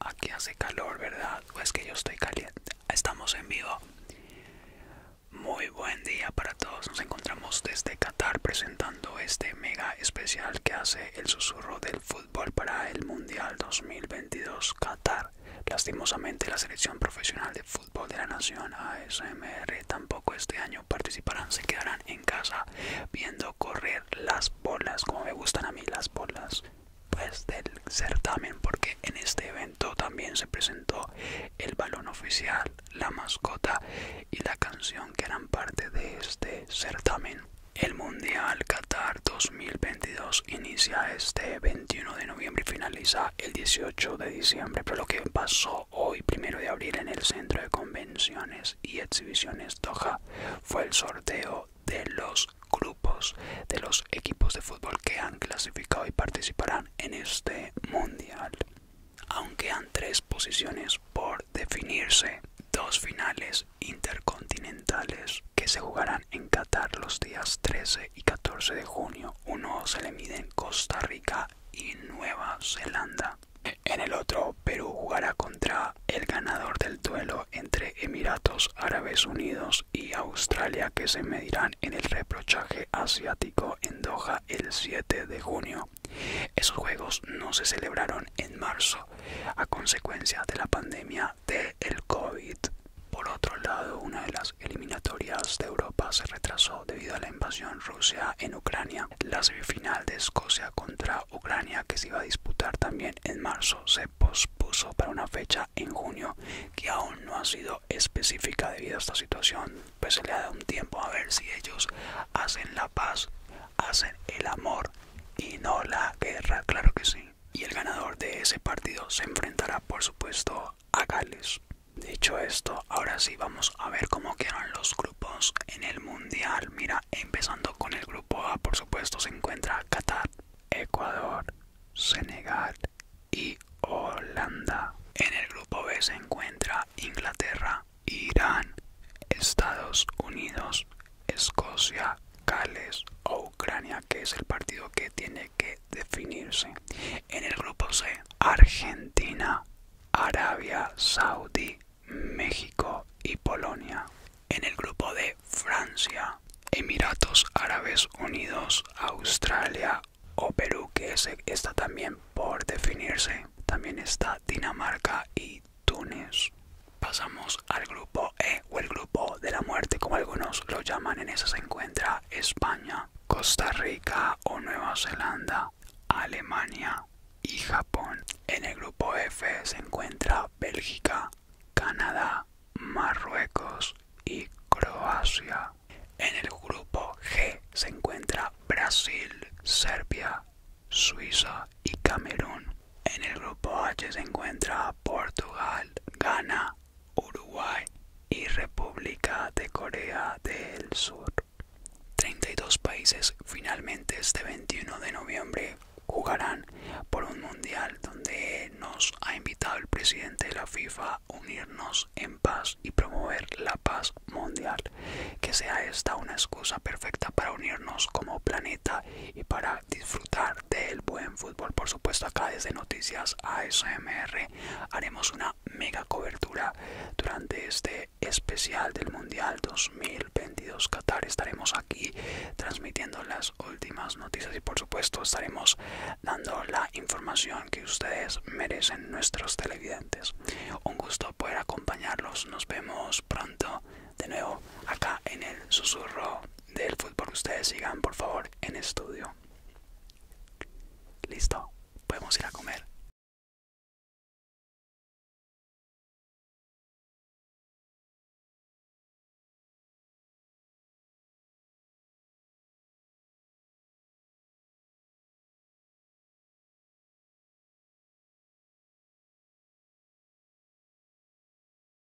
Aquí hace calor, ¿verdad? O es que yo estoy caliente. Estamos en vivo. Muy buen día para todos. Nos encontramos desde Qatar presentando este mega especial que hace el susurro del fútbol para el Mundial 2022 Qatar. Lastimosamente la selección profesional de fútbol de la Nación ASMR tampoco este año participarán, se quedarán en casa viendo correr las bolas, como me gustan a mí las bolas, pues del certamen, porque en este evento también se presentó el balón oficial, la mascota y la canción que eran parte de este certamen. El Mundial Qatar 2022 inicia este 21 de noviembre y finaliza el 18 de diciembre, pero lo que pasó hoy, primero de abril, en el Centro de Convenciones y Exhibiciones Doha fue el sorteo de los grupos de los equipos de fútbol que han clasificado y participarán en este mundial. Aunque han tres posiciones por definirse, dos finales intercontinentales que se jugarán en Qatar los días 13 y 14 de junio. Uno se le mide en Costa Rica y Nueva Zelanda. En el otro, Perú jugará contra el ganador del duelo entre Emiratos Árabes Unidos y Australia que se medirán en el reprochaje asiático en Doha el 7 de junio. Esos juegos no se celebraron en marzo a consecuencia de la pandemia del COVID. Por otro lado, una de las eliminatorias de Europa se retrasó debido a la invasión rusa en Ucrania. La semifinal de Escocia contra Ucrania, que se iba a disputar también en marzo, se pospuso para una fecha en junio que aún no ha sido específica debido a esta situación. Pues se le ha dado un tiempo a ver si ellos hacen la paz, hacen el amor y no la guerra, claro que sí. Y el ganador de ese partido se enfrentará, por supuesto, a a Gales. Dicho esto, ahora sí vamos a ver cómo quedan los grupos en el mundial. Mira, empezando con el grupo A, por supuesto, se encuentra Qatar, Ecuador, Senegal y Holanda. En el grupo B se encuentra Inglaterra, Irán, Estados Unidos, Escocia, Gales o Ucrania, que es el partido que tiene que definirse. En el grupo C, Argentina, Arabia Saudí, México y Polonia. En el grupo D, Francia, Emiratos Árabes Unidos, Australia o Perú, que está también por definirse. También está Dinamarca y Túnez. Pasamos al grupo E o el grupo de la muerte, como algunos lo llaman. En esa se encuentra España, Costa Rica o Nueva Zelanda, Alemania y Japón. En el grupo F se encuentra Bélgica, Canadá, Marruecos y Croacia. En el grupo G se encuentra Brasil, Serbia, Suiza y Camerún. En el grupo H se encuentra Portugal, Ghana, Uruguay y República de Corea del Sur. 32 países finalmente este 21 de noviembre jugarán por un mundial donde nos ha invitado el presidente de la FIFA a unirnos en paz y promover la paz mundial. Que sea esta una excusa perfecta para unirnos como planeta y para disfrutar del buen fútbol. Por supuesto, acá desde Noticias ASMR haremos una mega cobertura durante este especial del Mundial 2022 Qatar. Estaremos aquí transmitiendo las últimas noticias y, por supuesto, estaremos dando la información que ustedes merecen, nuestros televidentes. Un gusto poder acompañarlos. Nos vemos pronto de nuevo acá en el susurro del fútbol ustedes sigan por favor en estudio. Listo, podemos ir a comer.